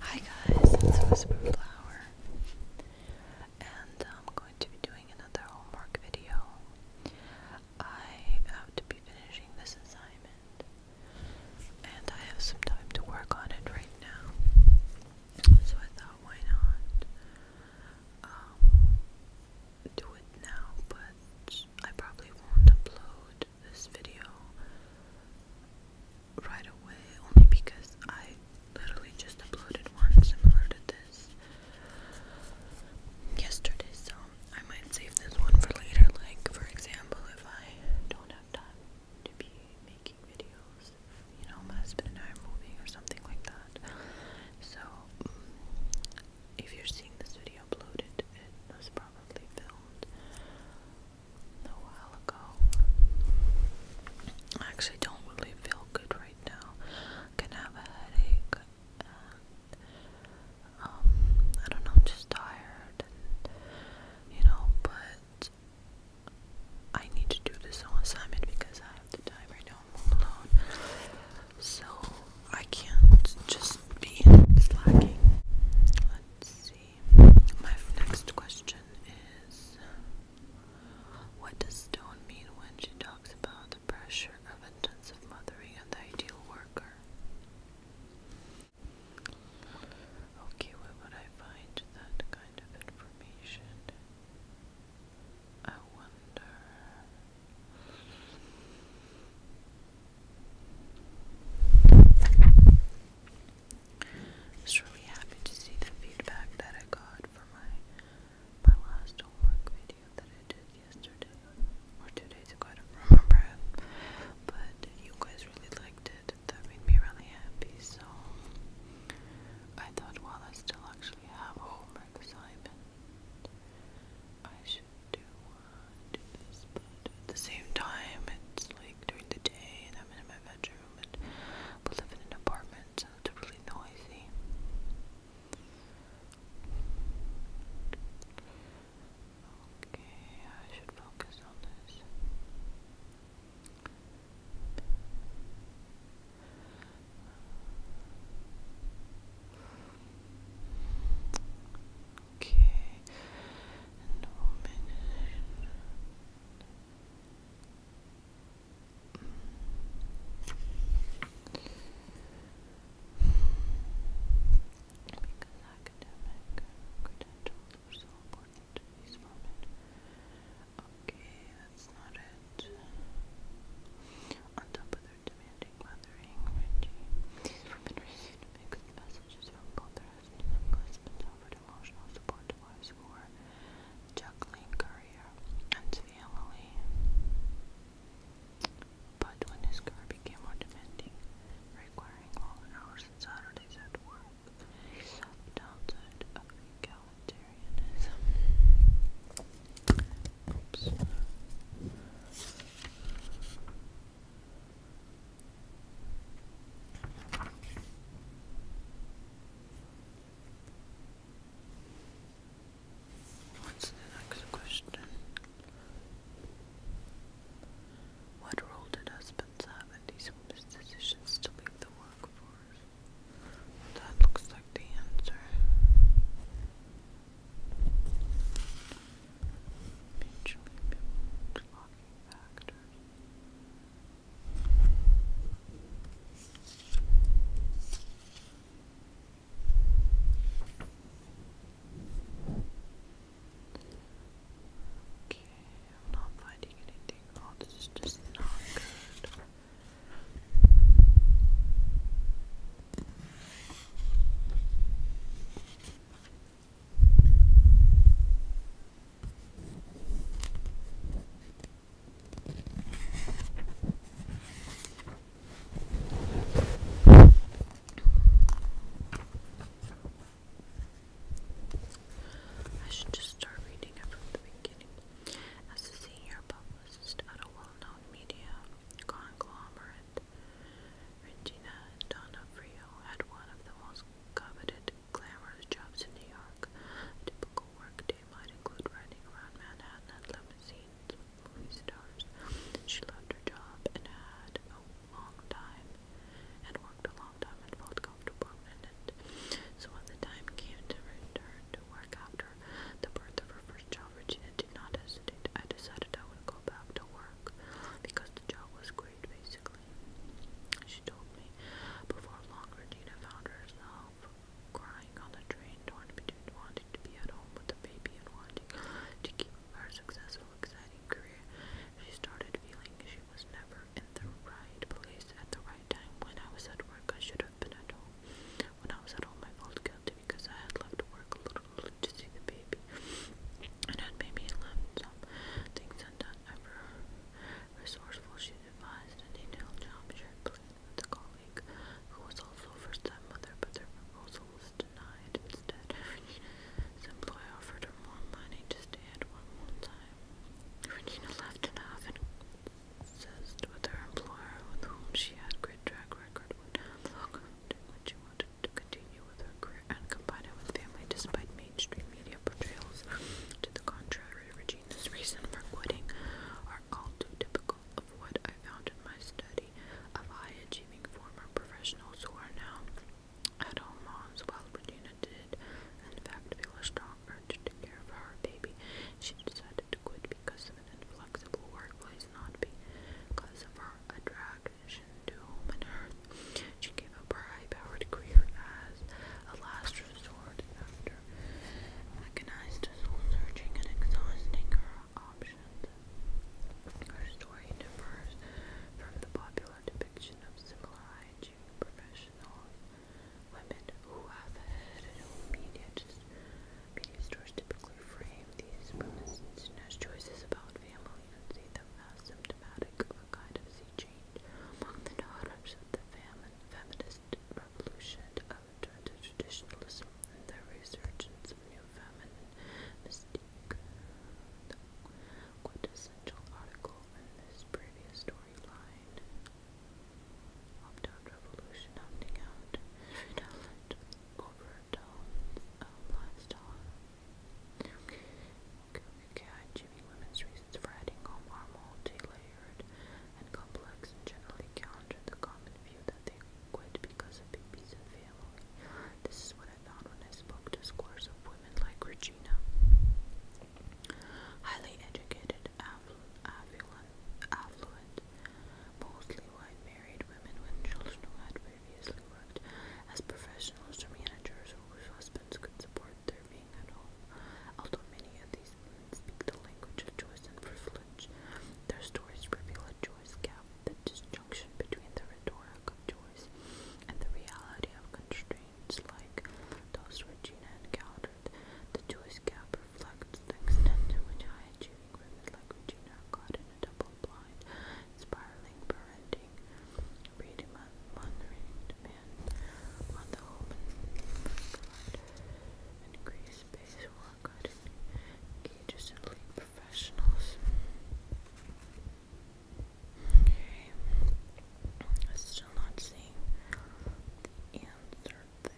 Hi guys, it's Whisperflower, and I'm going to be doing another homework video. I have to be finishing this assignment, and I have some time to work on it right now. So I thought, why not um, do it now? But I probably won't upload this video right away only because I literally just uploaded one similar to this yesterday, so I might save this one for later. Like, for example, if I don't have time to be making videos, you know, my husband and I are moving or something like that. So, if you're seeing this video uploaded, it was probably filmed a while ago. I actually don't really feel good right now. I can have a headache um I don't know, I'm just tired and you know, but I need to do this on assignment because I have the time right now. I'm alone. So I can't just be slacking. Let's see. My next question is What does Stone mean when she talks about the pressure of intensive mothering and the ideal worker? Okay, where would I find that kind of information? I wonder. I was really happy to see the feedback that I got for my my last homework video that I did yesterday or two days ago, I don't remember but you guys really liked it, that made me really happy so I thought while I still actually have homework assignment I should do, do this but at the same time it's like during the day and I'm in my bedroom, and we live in an apartment, so it's really noisy. Okay, I should focus on this. Okay, and woman. Because academic Okay, that's not it. On top of their demanding mothering, Reggie, these women received mixed messages from both service, and Linguists offered emotional support to wives career and family. But when his career became more demanding, requiring long hours and Saturdays at work, he saw the downside of egalitarianism. What's the next question? What role did husbands have in these women's decisions to leave the workforce? That looks like the answer. Mutually factors. Okay, I'm not finding anything. Oh, this is just not good. I should just start reading it from the beginning. As a senior publicist at a well known media conglomerate, Regina Donofrio had one of the most coveted glamorous jobs in New York. A typical workday might include riding around Manhattan at limousines with movie stars. She loved her job and had a long time and worked a long time and felt comfortable in it. So when the time came to return to work after the birth of her first child, Regina did not hesitate. I decided I would go back to work because the job was great, basically she told me. Before long, Regina found herself crying on the train, torn between wanting to be at home with the baby and wanting to keep her successful, exciting career. She started feeling she was never in the right place at the right time. When I was at work, I should have been at home. When I was at home, my fault guilty because I had left work a little early to see the baby. And had maybe left some things undone ever resourceful, she devised a detailed job shared plan with a colleague who was also her stepmother, but their proposal was denied. Instead, Regina's employer offered her more money to stay at one more time. Regina left and often obsessed with her employer, with whom she had great track record, would welcome when she wanted to continue with her career and combine it with family despite mainstream media portrayals to the contrary, Regina's reason for quitting are all too typical of what I found in my study of high-achieving former professionals who are now at-home moms. While Regina did, in fact, feel a strong urge to care for her baby, she decided to quit because of an inflexible workplace, not because of her attraction to home and her she gave up her high-powered career as a last resort after agonized soul-searching and exhausting her options. Her story differs from the popular depiction of similar hygiene professionals, women who have headed media, media stores typically frame these women's as choices about family and see them as symptomatic of a kind of sea change among the daughters of the famine, feminist revolution of traditionalism and the resurgence of new feminine mystique. The quintessential article in this previous storyline opt-out revolution opting out over tones of lifestyle Kubrick Women's reasons for having home are multi-layered and complex and generally counter the common view that they quit because of babies and family. This is what I found when I spoke to scores of women like Regina. Highly educated, affluent, mostly white married women with children who had previously worked as professionals or managers or whose husbands could support disturbing at all. Although many of these women speak the language of choice and privilege, their stories reveal a choice gap, the disjunction between the rhetoric of choice and the reality of constraints like those Regina encountered. The choice gap reflects the extent to which high achieving women like Regina are caught in a double blind, spiraling parenting reading, reading on, on the open flood, space work on engages professionals. Okay, I'm still not seeing the answer there.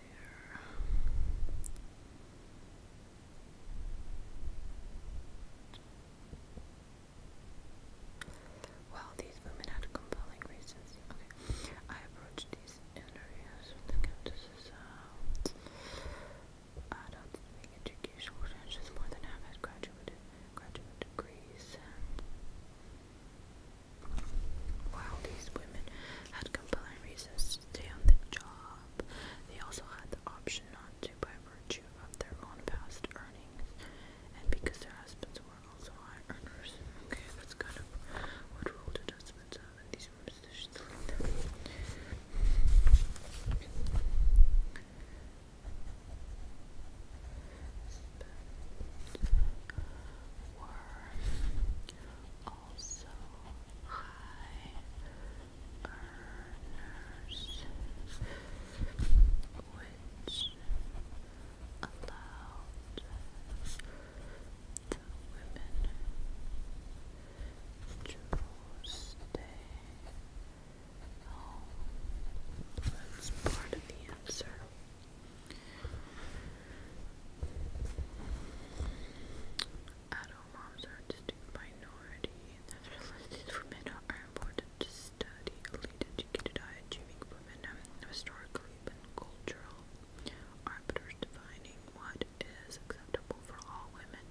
Well, these women had compelling reasons. I approached these interviews with the Countess's adult speaking education, which more than half had graduate, graduate degrees. While these women had compelling reasons to stay on the job, they also had the option not to by virtue issue of their own past earnings and because their husbands were also high earners. Okay, that's kind of what role did husbands have in these positions. Were also high earners which allowed the women to stay home was part of the answer. Adult moms are a distinct minority, and that religious women are are important to study. Elite educated high achieving women, historically and cultural arbiters defining what is acceptable for all women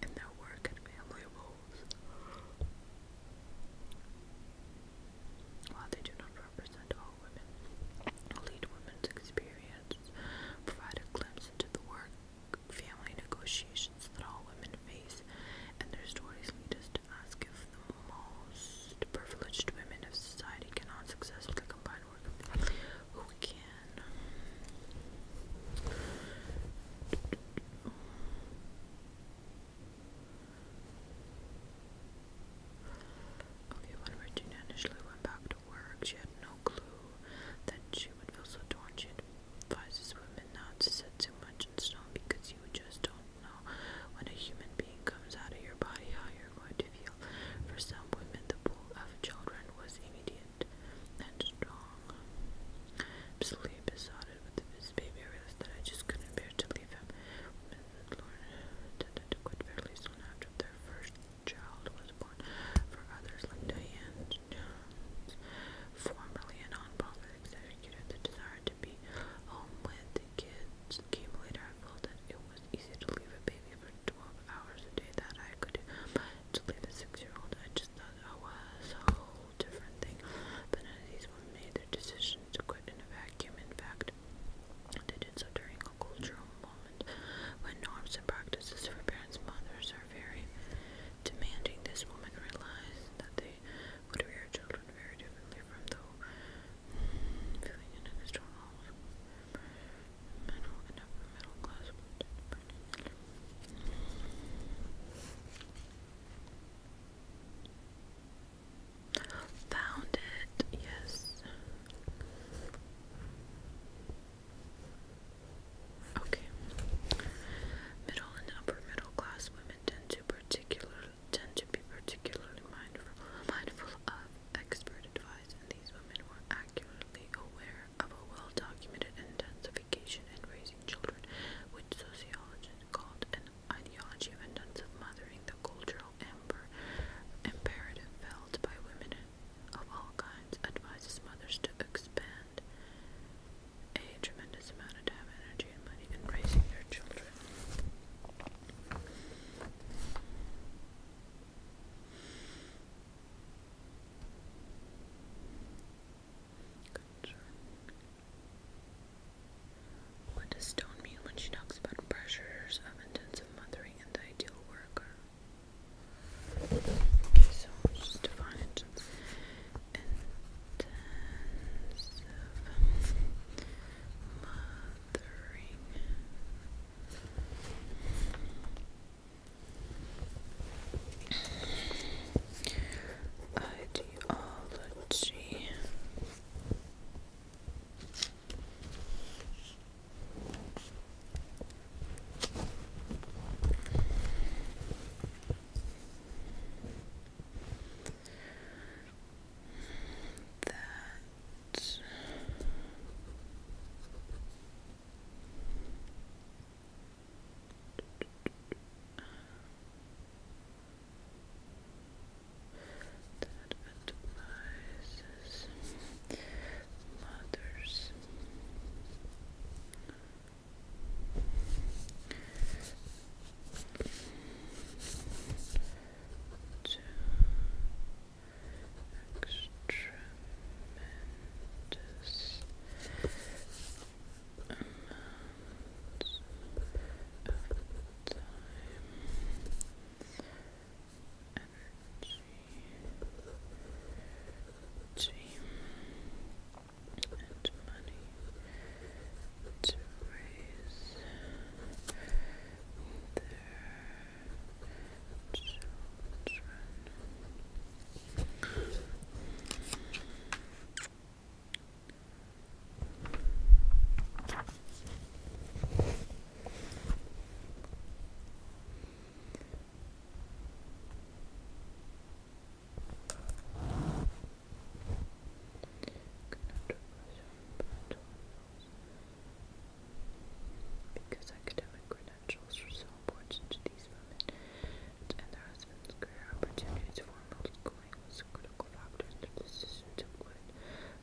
in their work and family roles. While they do not represent all women, elite women's experience provide a glimpse into the work family negotiations that all women face, and their stories lead us to ask if the most privileged women of society cannot successfully combine work and family. Who can? Okay, when Regina initially went back to work, she had no clue that she would feel so torn. She advises women not to set too much in stone because because you just don't know when a human being comes out of your body how you're going to feel. For some women, the pool of children was immediate and strong. Absolutely besotted with this baby, I realized that I just couldn't bear to leave him. Women that learned to quit fairly soon after their first child was born. For others, like Diane Jones, formerly a non-profit executive, the desire hard to be home with the kids came later. I felt that it was easy to leave a baby for 12 hours a day that I could to leave a six-year-old. I just thought I was a whole different thing. But none of these women made their decision to quit in a vacuum. In fact, they did so during a cultural moment when norms and practices for parents' mothers are very demanding. This woman realized that they would rear children very differently from those feeling in a Middle and upper middle class Found it, yes. Okay. Middle and upper middle class women women tend to particular tend to be particularly mindful mindful of expert advice, and these women were accurately aware of a well-documented intensification in raising children, which sociologists called an ideology of intensive mothering, the cultural amber imperative felt by women of all kinds advises mothers to expand a tremendous amount of time, energy, and money in raising their children. Good. What does Stone mean when she talks about pressures of intensive mothering and the ideal worker? Okay, so just define intensive mothering. Ideology that that advises mothers to extremendous amounts of time, energy, team and money to raise their children. Because academic credentials are so important to these women and their husbands, career opportunities for schooling was a critical factor in their decision to quit.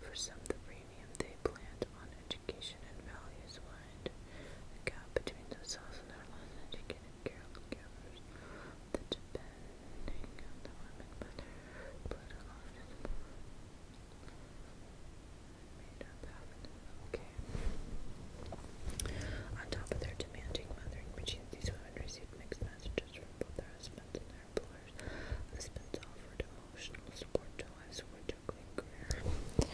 For some, the premium they planned on education and values widened the gap between themselves and their less educated caregivers on top of their demanding mothering routines, these women received mixed messages from both their husbands and their employers. Husbands offered emotional support to wives who were juggling career.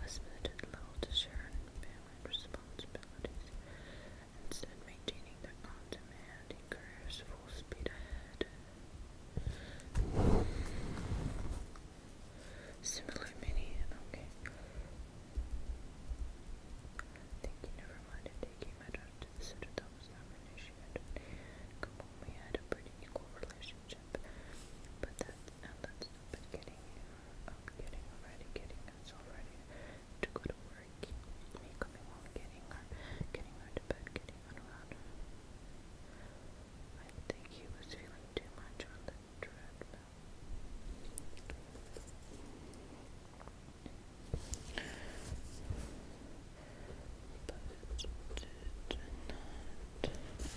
Husband and Lowell family responsibilities, instead maintaining their own demanding careers full speed ahead. Similar many, okay. I think you never mind taking my daughter to the citadel was not really she had Kamomi had a pretty equal relationship. But that's and that's not been getting her um, getting already getting us already to go to work. Me coming home, getting her getting her to bed, getting on around her. I think he was feeling too much on the treadmill but did not want to do housework.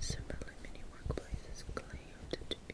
Similarly, many workplaces claim to do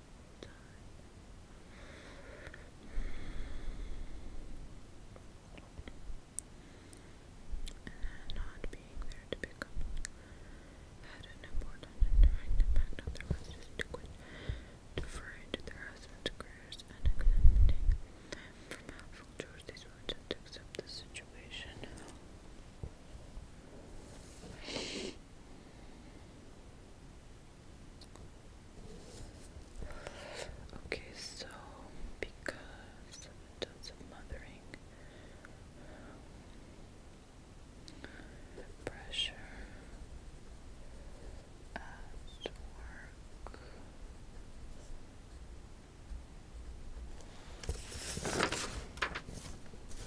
and not being there to pick up had an important and direct impact on their wife's liquid, deferring to their husband's careers and exempting from helpful chores. These women to accept the situation. Okay, so because in of mothering, pressure at work.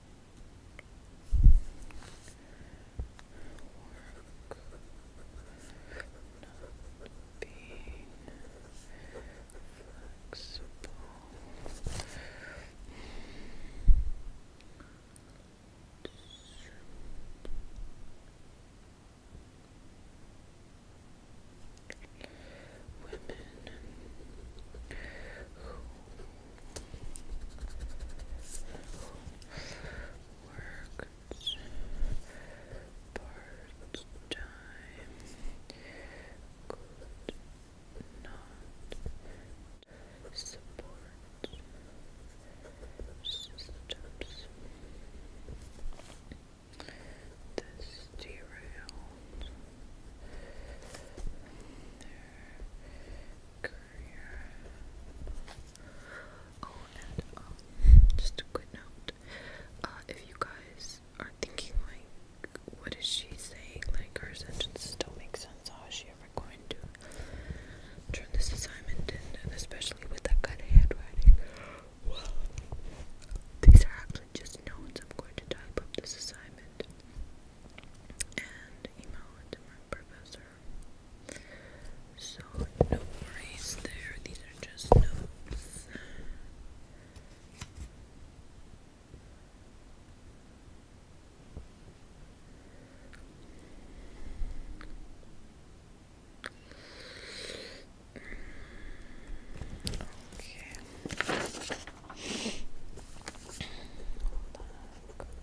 not being flexible. Women worked part time could not support systems. This derailed Oh, um, just a quick note. Uh, if you guys are thinking like, what is she saying? Like her sentences don't make sense. How is she ever going to turn this assignment in? especially with that kind of handwriting. Well, these are actually just notes. I'm going to type up this assignment and email it to my professor so no worries there. These are just notes. Okay. Hold on.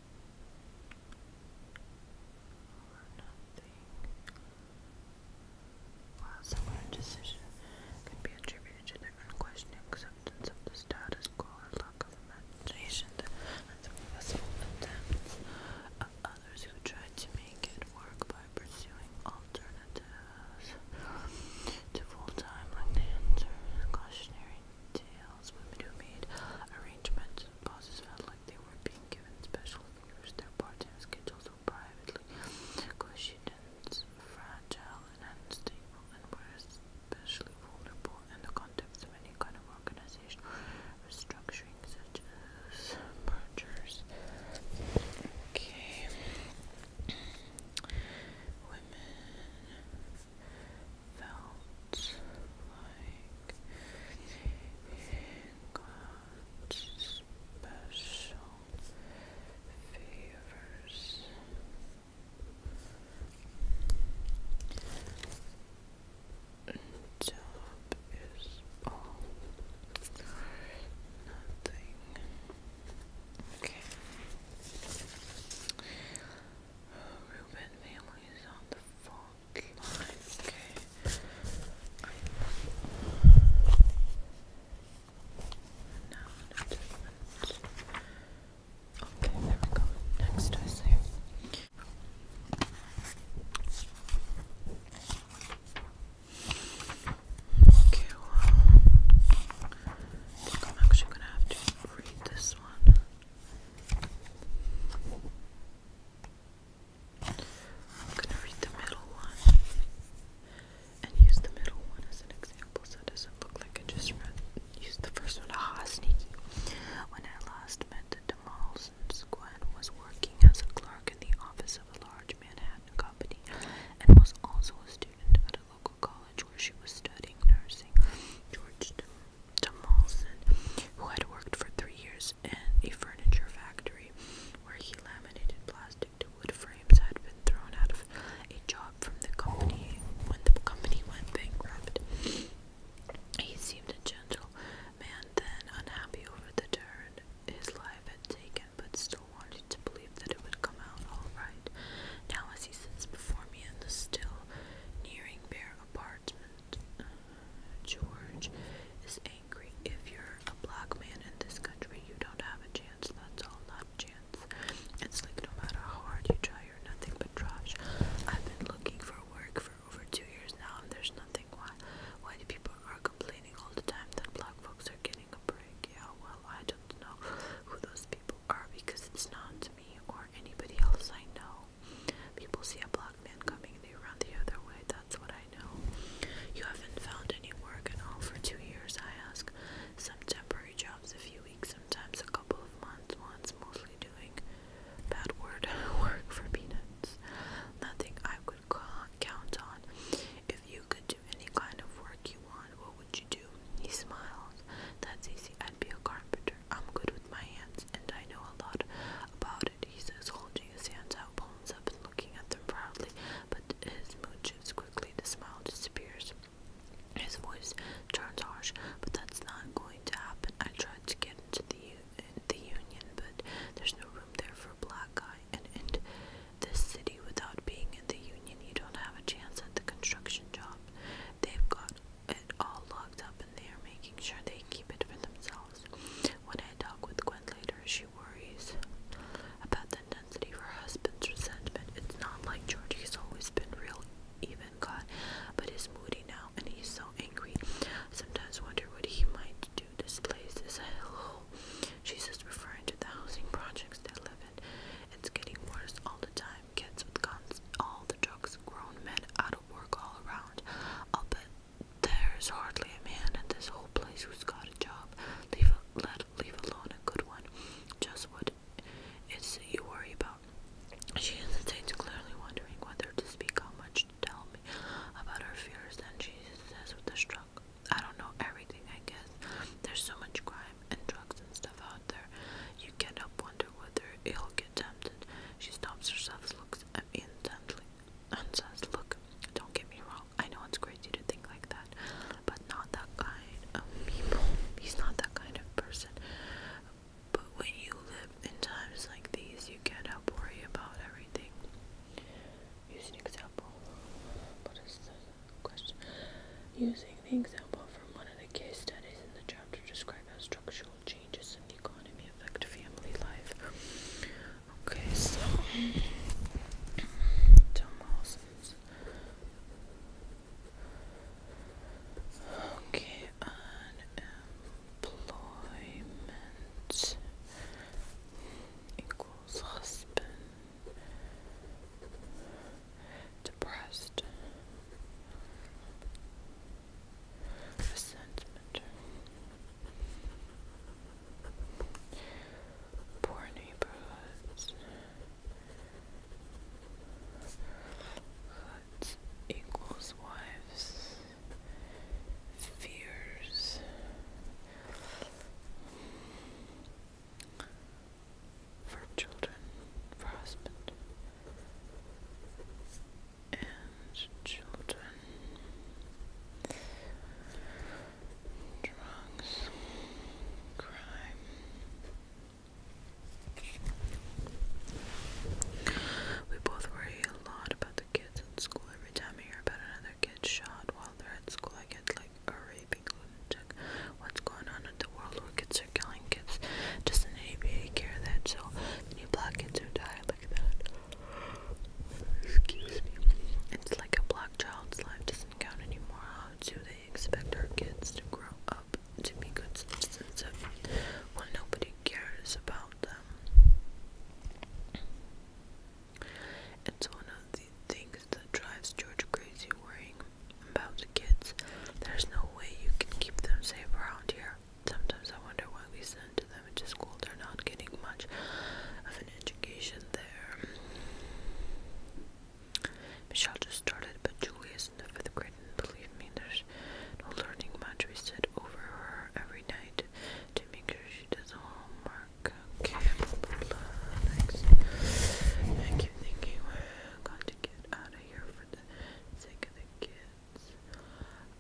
or nothing. While similar decision can be attributed to the unquestioning acceptance of the status quo lack of imagination and successful attempts of others who tried to make it work by pursuing alternatives to full-time, like cautionary tales, women who made arrangements and bosses felt like they were being given special favors. Their part-time schedules were privately negotiated, fragile and unstable, and were especially vulnerable in the context of any kind of organizational restructuring, such as mergers. Okay. Women felt like it special favors. Job is all nothing. Okay. Reuben family is on the phone line. Okay. Okay, there we go. Next I Okay, I'm actually gonna have to read this one. I'm gonna read the middle one and use the middle one as an example so it doesn't look like I just read used the first one. Ah, sneaky. When I last met Demolson's, Gwen was working as a clerk in the office of a large Manhattan company and was also a student at a local college where she was studying nursing. George Tomlinson, who had worked for three years in a furniture factory where he laminated plastic to wood frames, had been thrown out of a job from the company when the company went bankrupt. He seemed a gentle man then, unhappy over the turn his life had taken, but still wanted to believe that it would come out all right. Now, as he sits before me in the still, nearing bare apartment, George is angry. If you're a black man in this country, you don't have a chance. That's all, not a chance. It's like no matter how hard you try, you're nothing but trash. I've been looking for work for over two years now, and there's nothing. Why? Why do people are complaining all the time that black folks are getting a break? Yeah, well, I don't know who those people are because it's not me or anybody else I know. People see a black man coming, they run the other way. That's what I know. You haven't found any work at all for two years, I ask. Some temporary jobs, a few weeks, sometimes a couple of months, once mostly doing bad word work for peanuts. Nothing I could count on. If you could do any kind of work you want, what would you do? He smiles. That's easy. I'd be a carpenter. I'm good with my hands and I know a lot about it, he says, holding his hands out, palms up and looking at them proudly, but his mood shifts quickly, the smile disappears. His voice turns harsh, but that's not going to happen. I tried to get into the, in the union, but there's no room there for a black guy. And in this city, without being in the union, you don't have a chance at the construction job. They've got it all locked up and they are making sure they keep it for themselves. When I talk with Gwen later, she worries about the intensity of her husband's resentment. It's not like George, he's always been real, even God, but he's moody now and he's so angry. Sometimes wonder what he might do. This place is a hellhole. She says, referring to the housing projects they live in. It's getting worse all the time time. Kids with guns, all the drugs, grown men out of work all around. I'll bet there's hardly a man in this whole place who's got a job. Leave a, let leave alone a good one. Just what it's that you worry about. She hesitates, clearly wondering whether to speak, how much to tell me about her fears. Then she says with a shrug, "I don't know everything. I guess there's so much crime and drugs and stuff out there. You can't help wonder whether it'll get." attempted. She stops herself, looks at and says, Look, don't get me wrong. I know it's crazy to think like that, but not that kind of people. He's not that kind of person. But when you live in times like these, you can't help worry about everything. Use an example. What is the question? Using the example from one of the case studies in the chapter described how structural change changes in the economy affect family life? Okay, so Okay, unemployment equals husband depressed resentment. Poor neighborhoods. Hoods equals wives. Fears. For children, for and children, drugs, crime. We both worry a lot about the kids at school. Every time I hear about another kid shot while they're at school, I get like a raving lunatic. What's going on in the world where kids adults are killing kids. Doesn't anybody care that so many black kids are dying like that? Excuse me. It's like a black child's life doesn't count anymore. How do they expect our kids to grow up to be good citizens if well nobody cares about them? It's one of the things that drives George crazy worrying about the kids. There's no way you can keep them safe around here. Sometimes I wonder why we send them to school. They're not getting much of an education there. Michelle just started, but Julie is in the fifth grade, and believe me, there's no learning much. We sit over her every night to make sure she does homework. Okay, blah, blah, blah. Thanks. I keep thinking, well, I got to get out of here for the sake of the kids.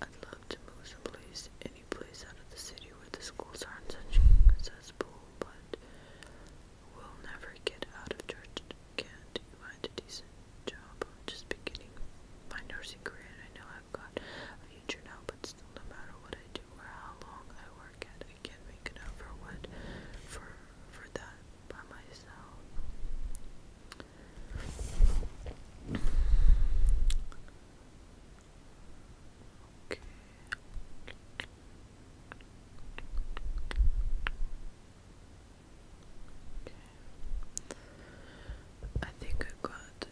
I'd love to move someplace, any place out of the city where the schools aren't such accessible, but we'll never get out of church. Can't find a decent job. I'm just beginning my nursing career, and I know I've got a future now, but still, no matter what I do or how long I work at, I can't make enough for what for for that by myself. Okay. Okay. I think I got the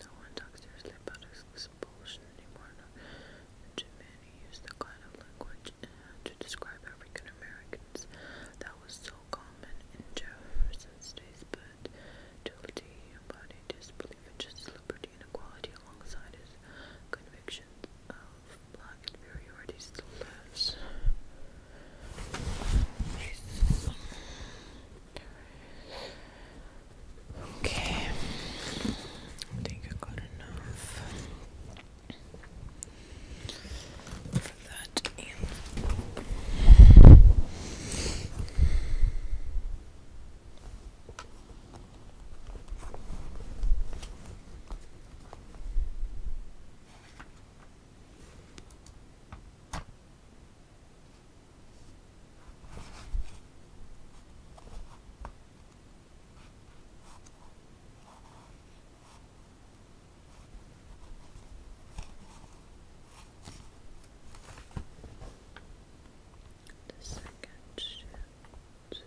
no one talks seriously about expulsion anymore. too many use the kind of language uh, to describe African Americans that was so common in Jefferson's days, but Tilty embodied his belief in justice, liberty, and equality alongside his convictions of black inferiority still lives. Okay, I think I got enough for that the second shift. Right.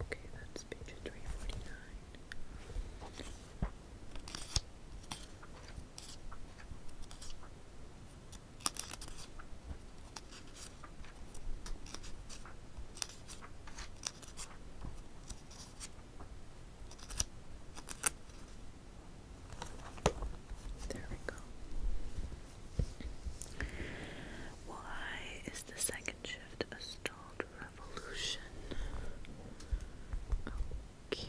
Okay, that's page 349. There we go. Why is the second shift a star? called Revolution. Okay.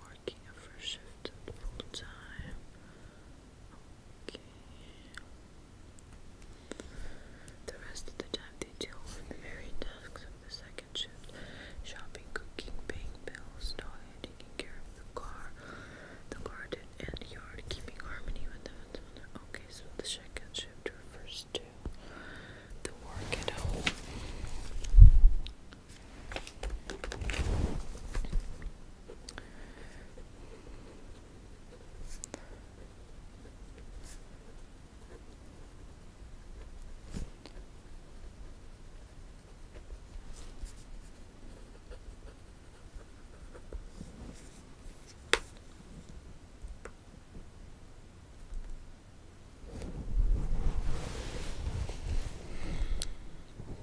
Working a first shift at full time. Okay. The rest of the time they deal with the very tasks of the second shift. Shopping, cooking, paying bills, dog taking care of the car, the garden and yard, keeping harmony with them. Okay, so the second shift refers to the work at home.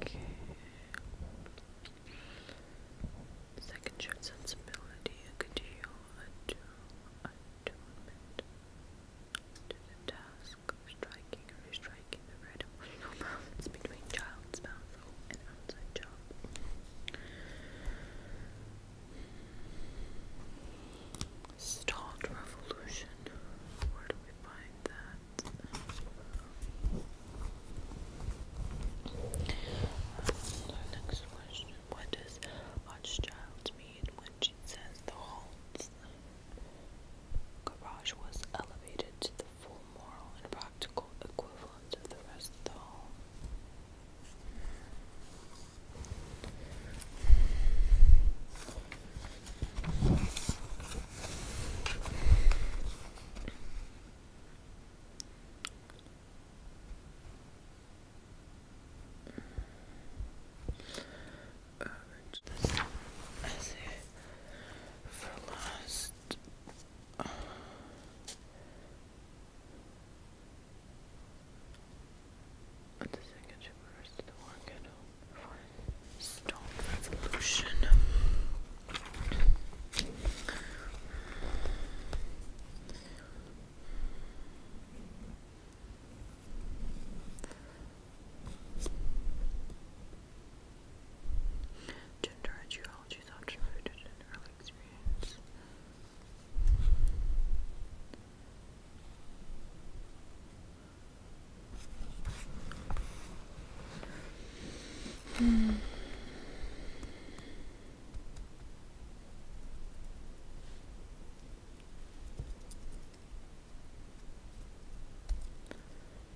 Okay. Second shift sensibility, a continual attunement to the task striking or restriking the right emotional between child's balance an outside job. Stalled revolution. Where do we find that? Uh, next question: What does Hochschild mean when she says the whole garage was elevated to the full moral and practical equivalent of the rest of the hall. Uh, this for last the second should reverse to the one candle. Stone Revolution. Gender and geology is often rooted in early experience. Hmm.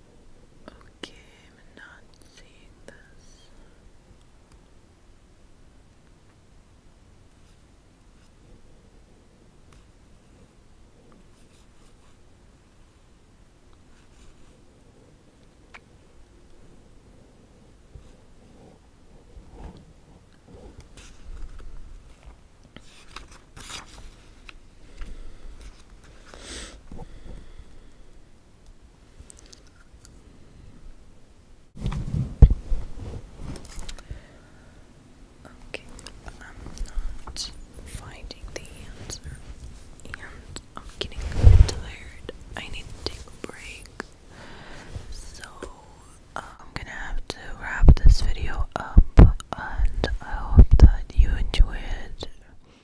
Okay, I'm not seeing this. Okay, I'm not finding the answer, and I'm getting tired. I need to take a break, so uh, I'm gonna have to wrap this video up. And I hope that you enjoyed. it.